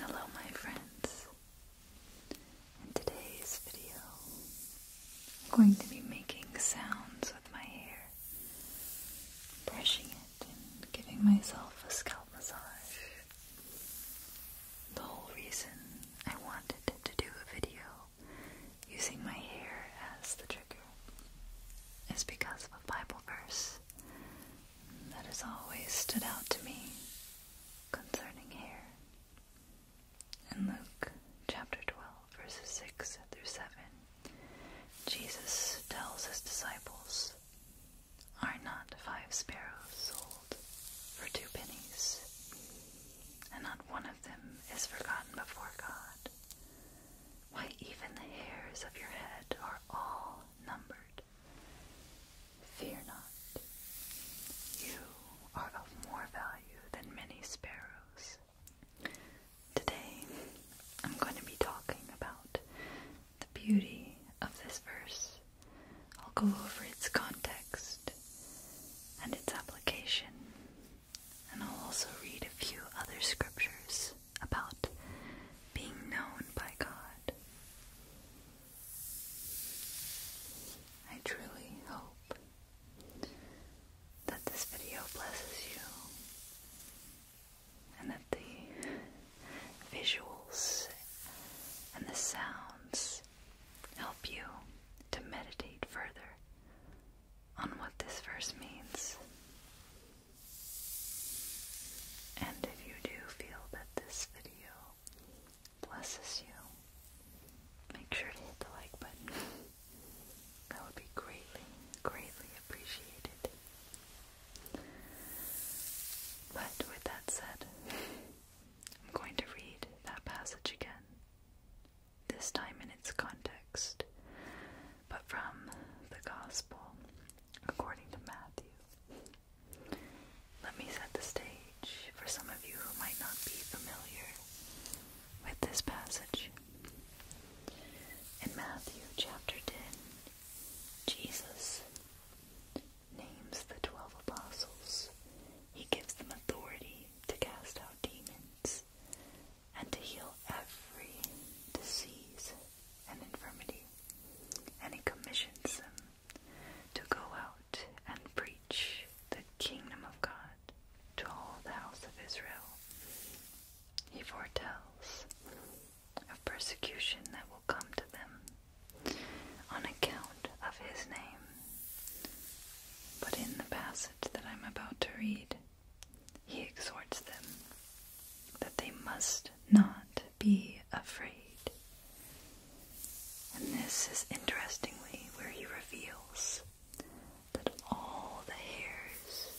Hello, my friends. In today's video, I'm going to be making sounds with my hair, brushing it, and giving myself a scalp massage. The whole reason I wanted to do a video using my hair as the trigger is because of a Bible verse that has always stood out to me concerning hair. In Luke chapter 12, verses 6 through 7, Jesus tells his disciples, Are not five sparrows sold for two pennies? And not one of them is forgotten before God. Why, even the hairs of your head are all numbered. Fear not, you are of more value than many sparrows. Today, I'm going to be talking about the beauty of this verse. I'll go over its context and its application and I'll also read a few other scriptures about being known by God. I truly hope that this video blesses you and that the visuals and the sounds help you to meditate further on what this verse means. And if you do feel that this video blesses you, make sure to hit the like button. That would be greatly, greatly appreciated. But with that said, I'm going to read that passage again, this time in its context, but from the Gospel according to Matthew. Let me set the stage for some of you who might not be familiar with this passage. In Matthew chapter 10, Jesus names the twelve apostles. He gives them authority to cast out demons and to heal every disease and infirmity. And he commissions them to go out and preach the kingdom of God to all the house of Israel. He foretells of persecution that will come to them on account of his name. But in the passage that I'm about to read, he exhorts them that they must not be afraid. And this is interestingly where he reveals that all the hairs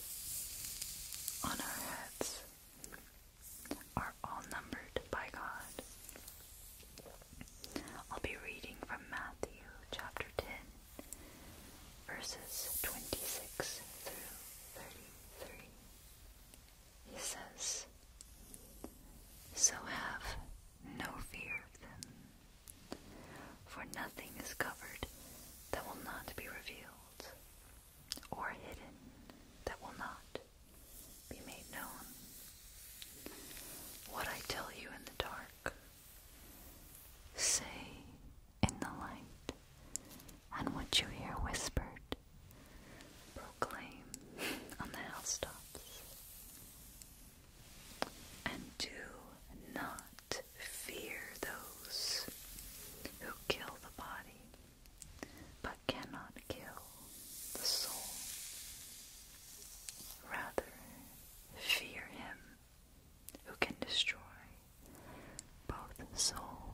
on our heads are all numbered by God. I'll be reading from Matthew chapter 10, verses 26 through he says, So have no fear of them, for nothing is covered that will not be revealed, or hidden that will not be made known. What I tell you in the dark, say in the light, and what you hear whispered, proclaim on the housetops. And do not fear those who kill the body, but cannot kill the soul. Rather, fear him who can destroy both soul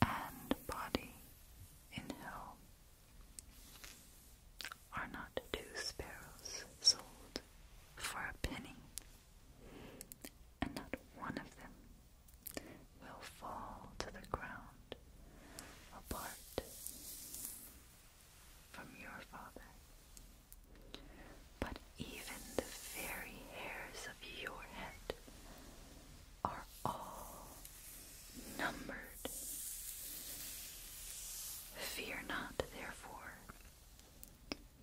and body in hell. Are not two sparrows sold for a penny, and not one of them will fall to the ground apart from your Father but even the very hairs of your head are all numbered. Fear not, therefore,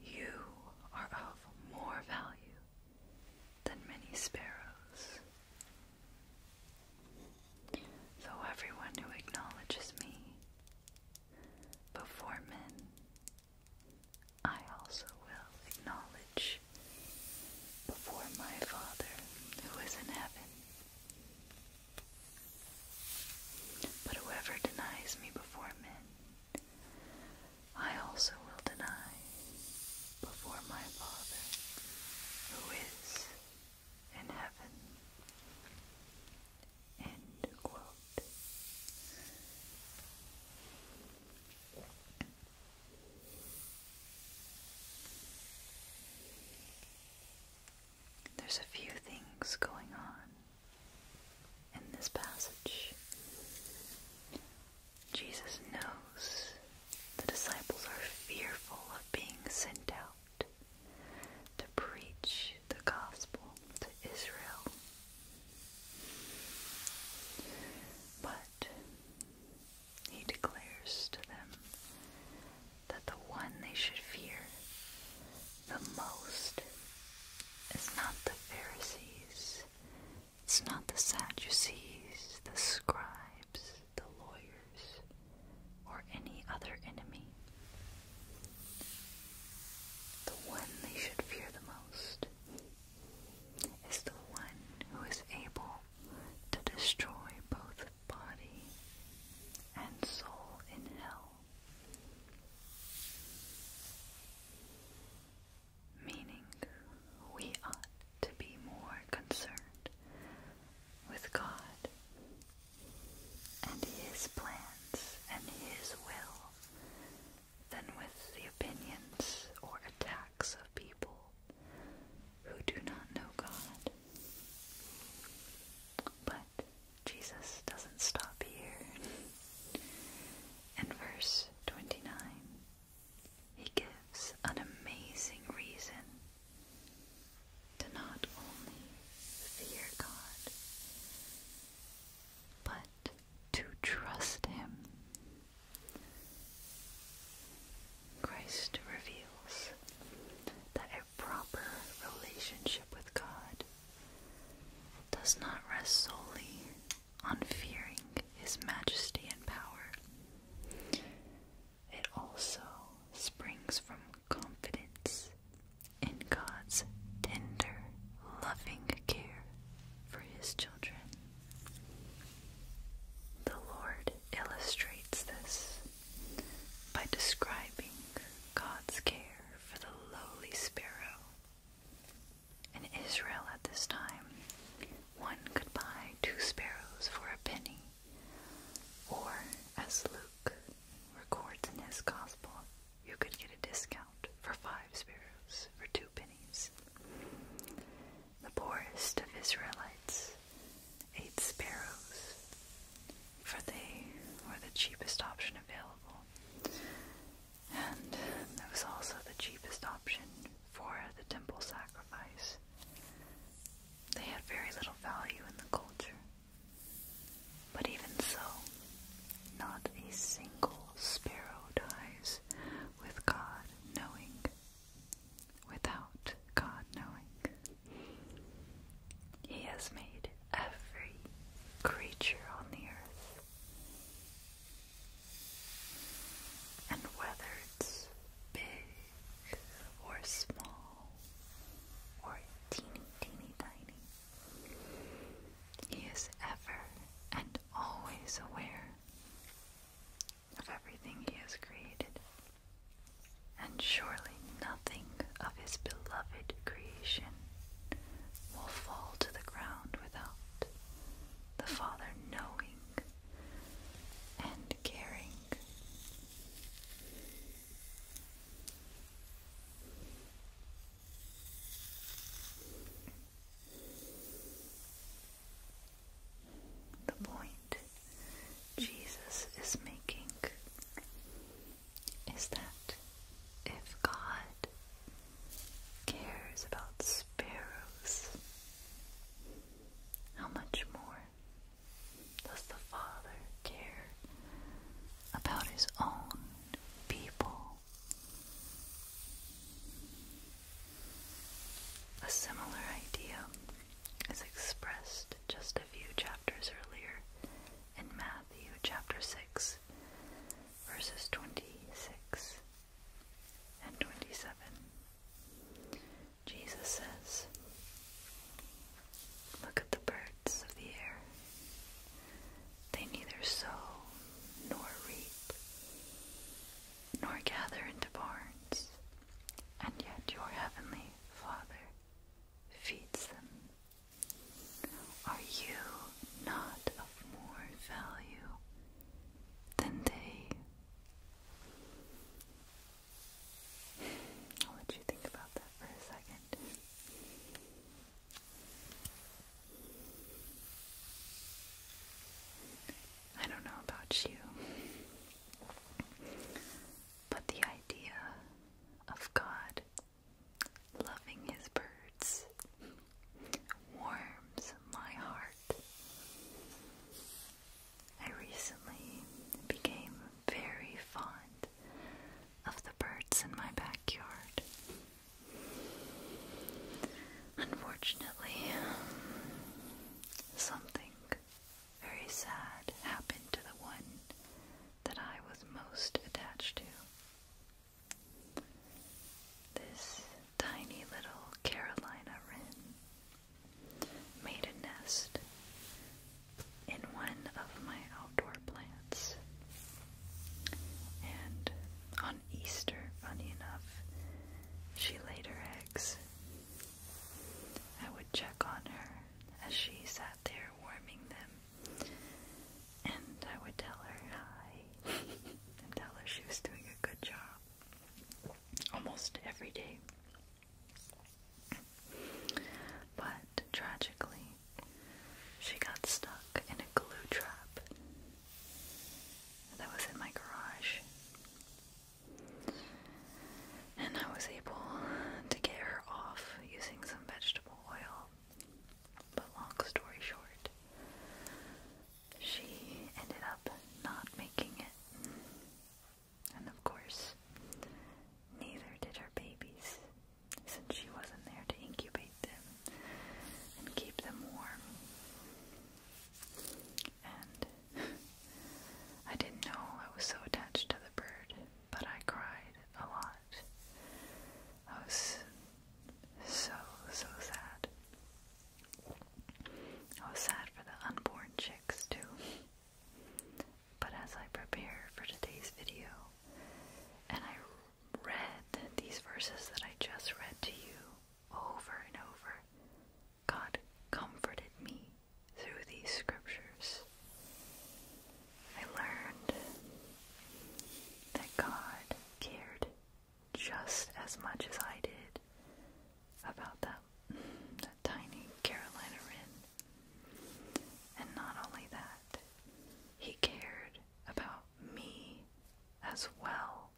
you are of more value than many sparrows. So everyone who acknowledges me before men I also will acknowledge before my Father who is in heaven. But whoever denies me before men, I also will deny before my Father who is in heaven. End quote. There's a few things going on in this passage. Jesus knows the disciples are fearful of being sent out to preach the gospel to Israel but he declares to them that the one they should fear the most is not the Pharisees, it's not the Sadducees, the scribes, the lawyers, or any other enemy. The one they should fear the most is the one who is able to destroy both body and soul in hell. Meaning, we ought to be more concerned with God and His plans and His will than with the opinions or attacks of people who do not know God. But Jesus doesn't stop here. In verse 29, he gives an amazing reason to not only fear God, but to trust Him. Christ reveals that a proper relationship with God does not rest solely on fearing His majesty and power. It also springs from confidence in God's tender, loving care for His children. The Lord illustrates this by describing God's care for the lowly sparrow. In Israel at this time, one could buy two sparrows for a penny, or as Luke records in his Gospel, you could get a discount for five sparrows for two pennies. The poorest of Israelites ate sparrows, for they were the cheapest option available, and it was also the cheapest option for the temple sacrifice. They had very little value in the culture. But even so, not a single sparrow dies with God knowing, without God knowing. He has made every creature on the earth. And whether it's big or small or teeny, teeny, tiny, He is ever and always aware of everything He has created, and surely nothing of His beloved creation will fall to the ground without the Father knowing and caring. The point Jesus is making is that if God cares about sparrows, how much more does the Father care about his own people? A similar idea is expressed just a few chapters earlier in Matthew chapter 6, verses 26 and 27. Jesus says, Look at the birds of the air. They neither sow nor reap, nor gather into barns, and yet your heavenly Father feeds them. Are you not of more value than they? I'll let you think about that for a second. I don't know about you, but the idea of God loving his birds warms my heart. I recently became very fond of the birds in my backyard. Unfortunately, something very sad happened to the one that I was most attached to. This tiny little Carolina wren made a nest in one of my outdoor plants. And on Easter, funny enough. She laid her eggs. I would check on her as she sat there warming them, and I would tell her hi and tell her she was doing a good job almost every day. But tragically, she got stuck in a glue trap that was in my garage. And I was able to get her off using some vegetable oil. But long story short, she ended up not making it. And of course, neither did her babies, since she wasn't there to incubate them and keep them warm. And I didn't know I was so attached to the bird, but I cried a lot. I was so, so sad. I was sad for the unborn chicks too. But as I prepare for today's video, and I read these verses that I just read to you, over and over, God comforted me through these scriptures. I learned that God cared just as much as I did about that, that tiny Carolina wren. And not only that, he cared about me as well.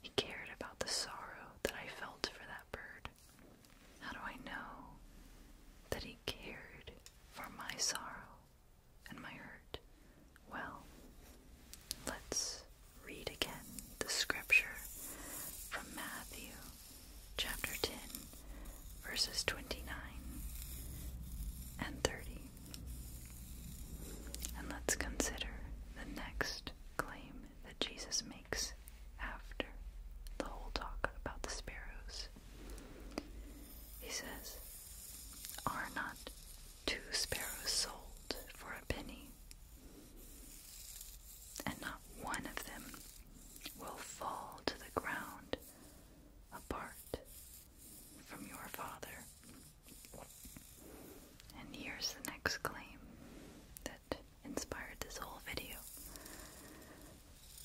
He cared about the sorrow that I felt for that bird. How do I know that he cared for my sorrow and my hurt? Well, let's read again the scripture from Matthew chapter 10, verses 29 and 30. And let's consider the next claim that Jesus makes after the whole talk about the sparrows. He says, Are not two sparrows sold for a penny? And not one of them will fall to the ground apart from your Father and here's the next claim that inspired this whole video.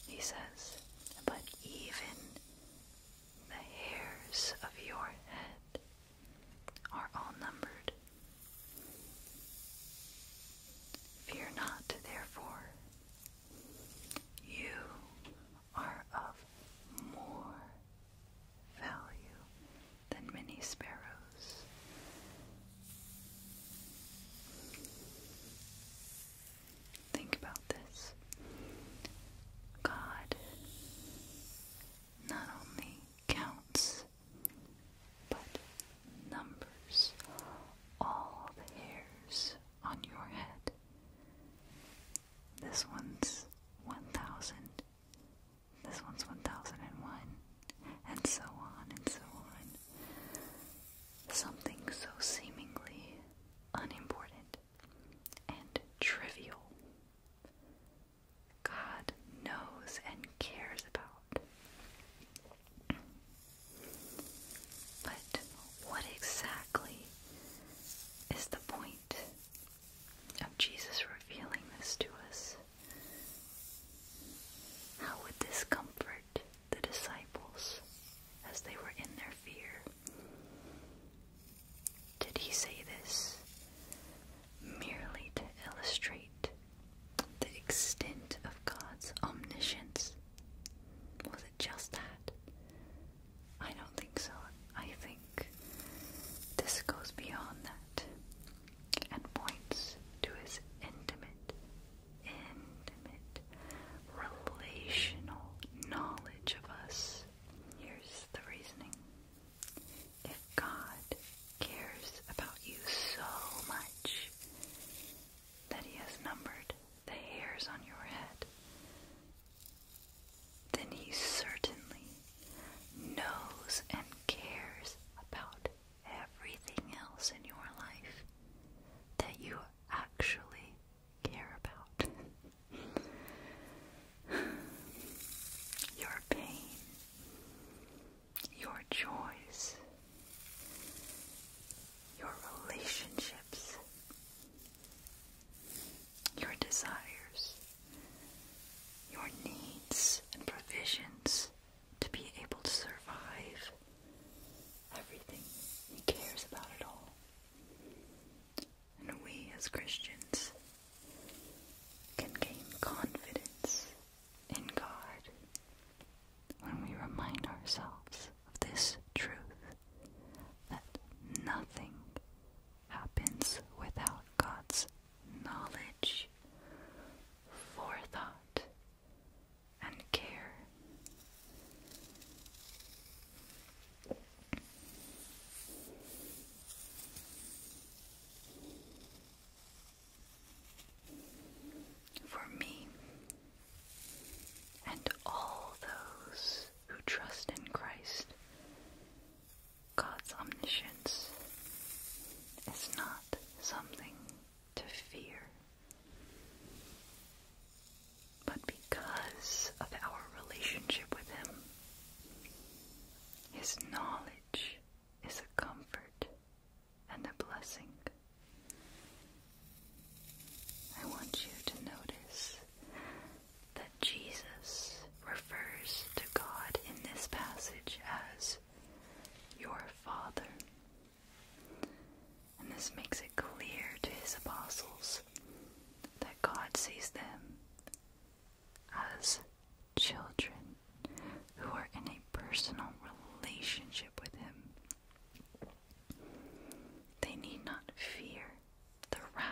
He says, But even the hairs of your head are all numbered. Fear not, therefore. You are of more value than many sparrows. Think about this. God not only counts, but numbers all the hairs on your head. This one's 1,000. This one's 1001, and so on and so on. Something so seemingly unimportant and trivial, God knows and cares about. But what exactly is the point of Jesus revealing this to us. How would this comfort the disciples as they were in their fear? Did he say this merely to illustrate the extent of God's omniscience? Was it just that? I don't think so. I think this goes beyond that and points to his intimate, intimate, relational knowledge of us. Here's the reasoning. If God cares about you so much that He has numbered the hairs on your head, then he certainly knows and cares about everything else in your life that you actually care about. your pain, your joys, your relationships, your desires your needs and provisions to be able to survive everything. He cares about it all. And we as Christians can gain confidence in God when we remind ourselves of this truth that nothing happens without God's knowledge, forethought, and care. For me and all those who trust in Christ, God's omniscience is not something to fear. But because of our relationship with Him, His knowledge is a comfort and a blessing. I want you to notice Jesus refers to God in this passage as your Father. And this makes it clear to his apostles that God sees them as children who are in a personal relationship with Him. They need not fear the wrath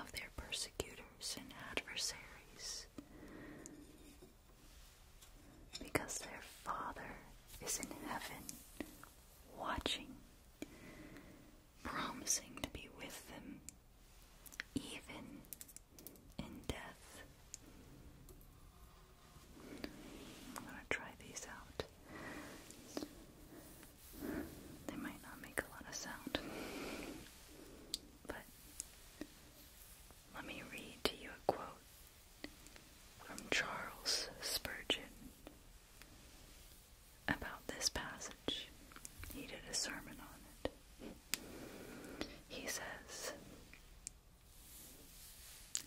of their persecutors and adversaries, because their Father is in heaven, watching, promising to be with them, even in death. I'm gonna try these out. They might not make a lot of sound, but let me read to you a quote from Charles Spurgeon about this passage. He did a sermon on it. He says,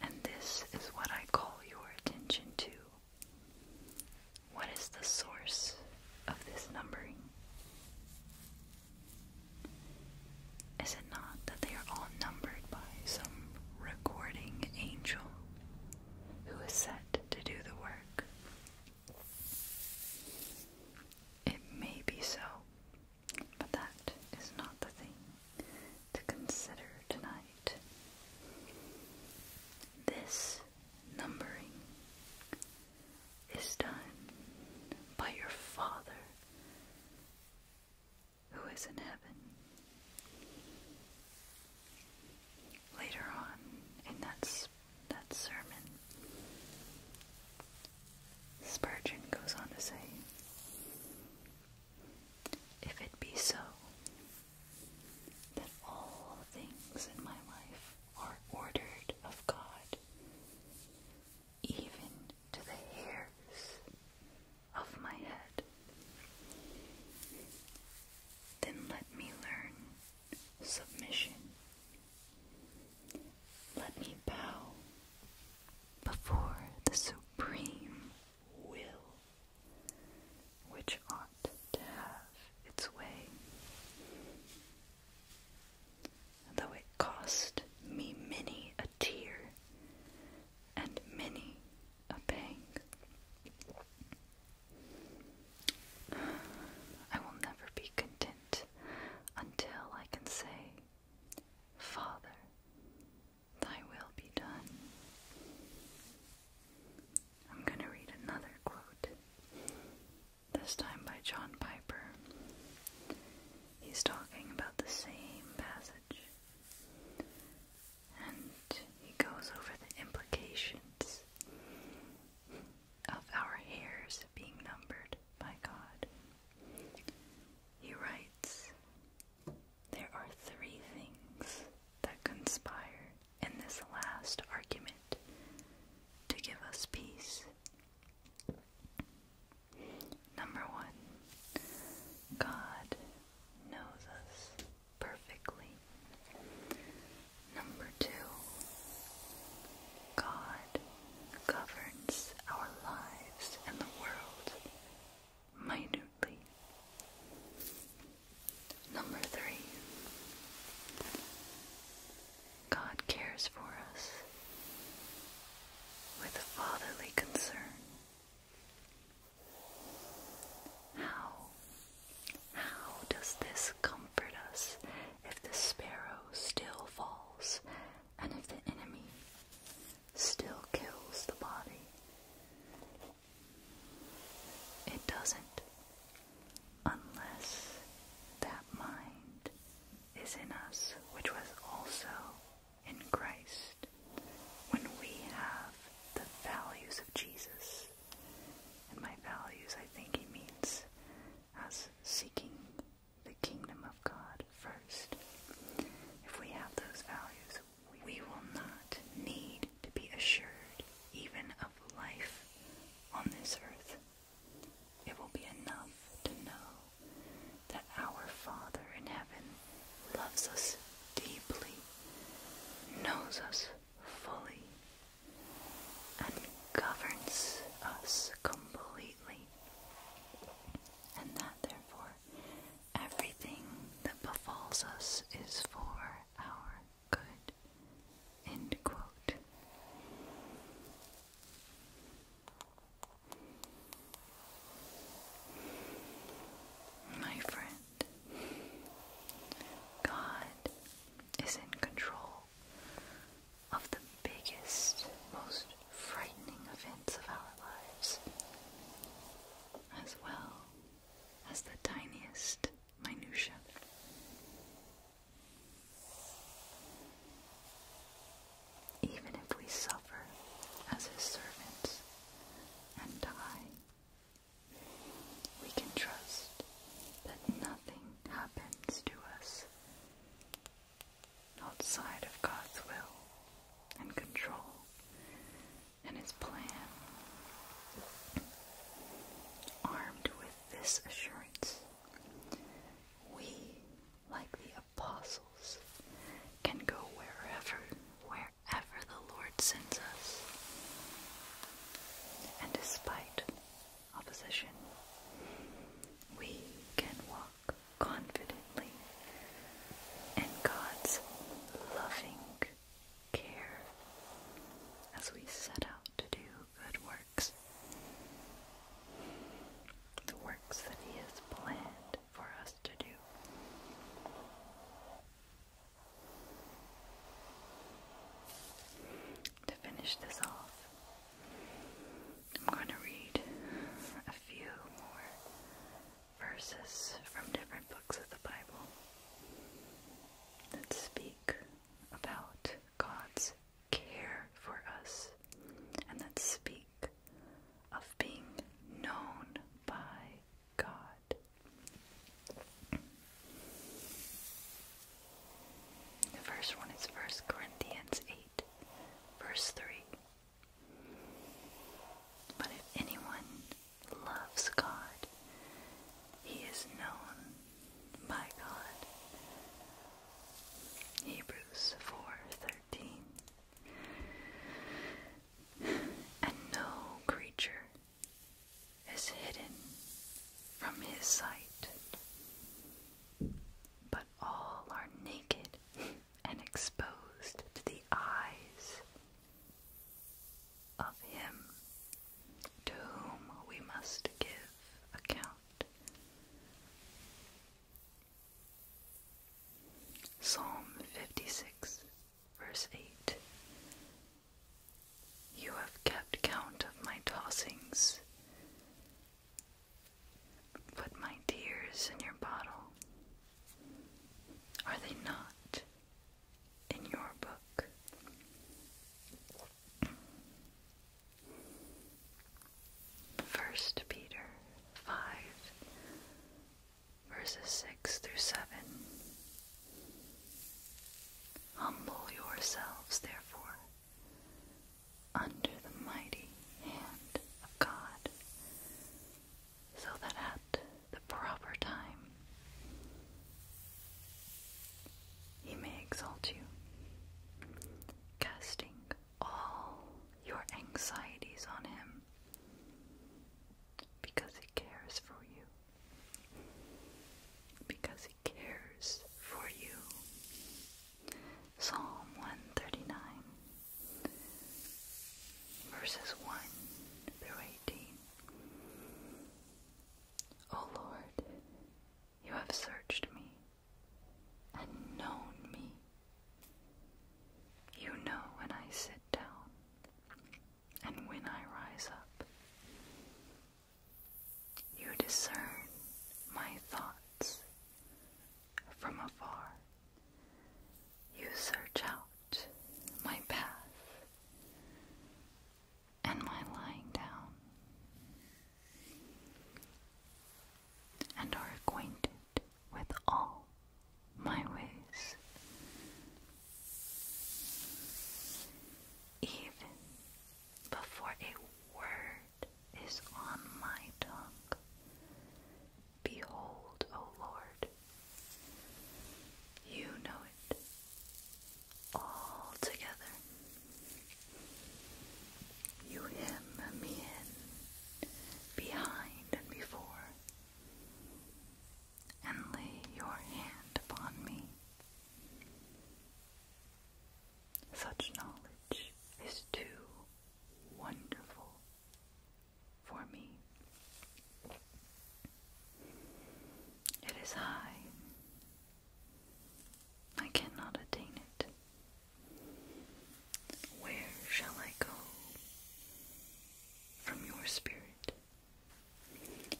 And this is what I call your attention to. What is the source of this numbering? Is it not that they are all numbered by some recording angel who is set to do the work? It may be so, but that is not the thing to consider tonight. This numbering is done by your Father who is in heaven. Later on in that, that sermon, Spurgeon goes on to say, If it be so, that all things in my life are ordered of God, even to the hairs of my head. Then let me learn submission. Let me bow before the supreme will, which ought to have its way though it cost me many a tear and many a pang. I will never be content until I can say, Father, thy will be done. I'm going to read another quote this time by John Piper. He's talking about the same passage. And he goes over the implications of our hairs being numbered by God. He writes, There are three things that conspire in this last argument to give us peace Number one, God knows us perfectly. Number two, God governs our lives and the world minutely. Number three, God cares for us with a fatherly concern. How, how does this comfort us if the sparrow still falls and if the enemy still kills the body? It doesn't unless that mind is in us, which was also in Christ, when we have the values of Jesus. And my values, I think he means us seeking the kingdom of God first. If we have those values, we will not need to be assured even of life on this earth. It will be enough to know that our Father in heaven loves us deeply, knows us fully, and governs us completely, and that therefore everything that befalls us is for our good. End quote. My friend, God is in control of the biggest, most frightening events of our lives, as well as the tiniest minutia. Even if we suffer as his servants and die, we can trust that nothing happens to us outside of God's will and control and his plan. Armed with this assurance, we, like the apostles, can go wherever, wherever the Lord sends us. And despite opposition, we can walk confidently in God's loving care as we set out to do good works. The works that He has planned for us to do. To finish this off, I'm going to read a few more verses from different books of the Bible that speak about God's care for us and that speak of being known by God. The first one is 1 Corinthians 8, verse 3. But if anyone loves God, he is known my God. Hebrews 4:13 And no creature is hidden from his sight, but all are naked and exposed to the eyes of him to whom we must give account. Psalm 56, verse 8 You have kept count of my tossings. Put my tears in your bottle. Are they not in your book? First Peter five verses six through seven. Humble yourselves, therefore, under the mighty hand of God, so that at the proper time He may exalt you, casting all your anxieties on Him because He cares for you. Because He cares for you. Psalm 139, verses 1 through 18. O Lord, you have searched me and known me. You know when I sit down and when I rise up. You discern my thoughts from afar. You search out my path and my lying down and are acquainted with all my ways. Even before a word is on my tongue, behold, O Lord, you know it altogether. You hem me in behind and before, and lay your hand upon me. Such knowledge is too wonderful for me. It is high I cannot attain it. Where shall I go from your spirit?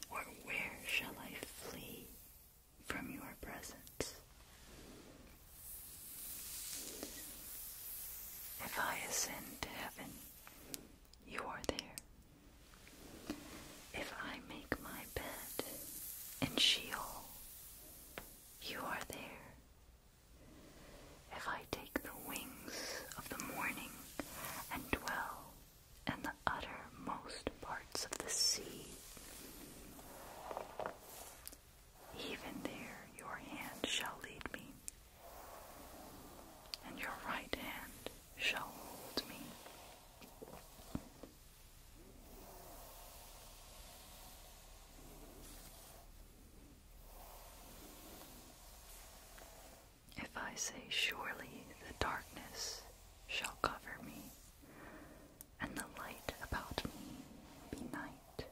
Or where shall I flee from your presence? If I ascend to heaven, you are there. If I make my bed in Sheol, you are there. If I take the wings of the morning and dwell in the uttermost parts of the sea, even there your hand shall lead me, and your right hand shall hold me. If I say, Surely the darkness shall cover me, and the light about me be night.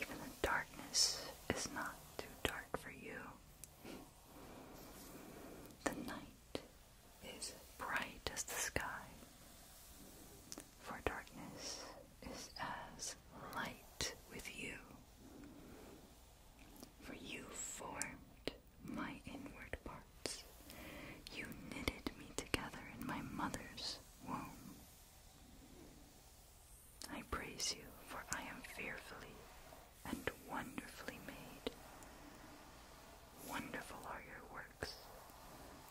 Even the darkness is not too dark for you. The night is bright as the sky, for darkness is as light with you. For you formed my inward parts, you knitted me together in my mother's womb. I praise you, for I am fearfully and wonderfully made. Wonderful are your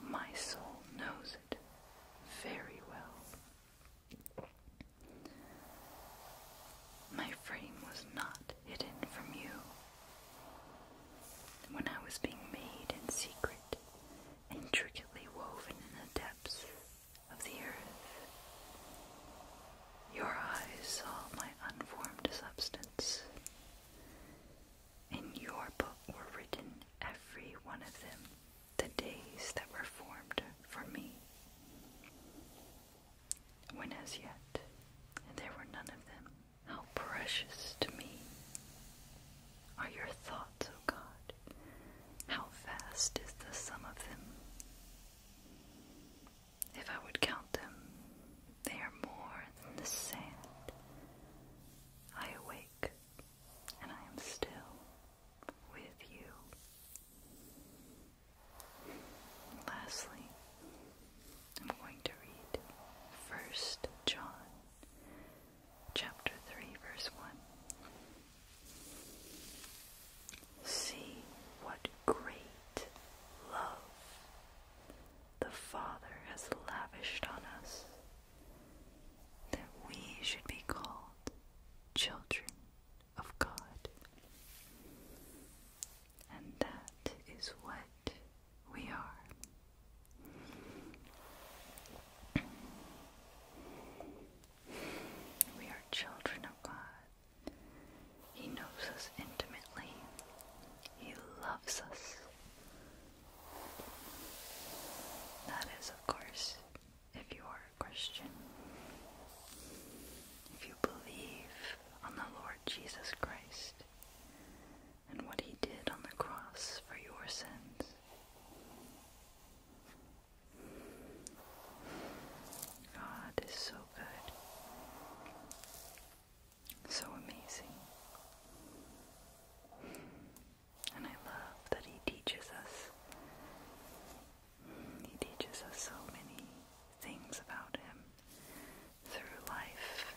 my soul knows it very well. My frame was not hidden from you. When I was being made in secret, intricately woven in the depths of the earth, your eyes saw my unformed substance. In your book were written every one of them, the days that were formed for me, when as yet there were none of them. How precious to me are your thoughts, O God! How vast is the sum of them! If I would count them, they are more than the sand. I awake, and I am still with you. Lastly, I'm going to read First John chapter 3 verse 1. See what great love the Father has lavished on us, that we should be called children of God. And that is what we are. We are children of God. He knows us intimately. He loves us. That is, of course, if you are a Christian. If you believe on the Lord Jesus Christ and what he did on the cross for your sins. God is so good. So amazing. And I love that he teaches us. He teaches us so many things about him through life.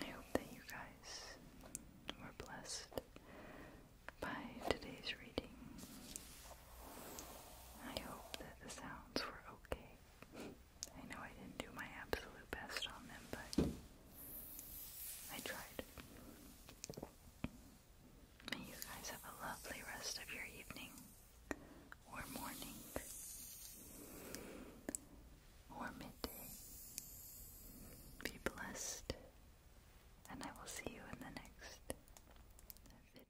I hope that you guys were blessed by today's reading. I hope that the sounds were okay. I know I didn't do my absolute best on them, but I tried. May you guys have a lovely rest of your evening, or morning, or midday. Be blessed, and I will see you in the next video.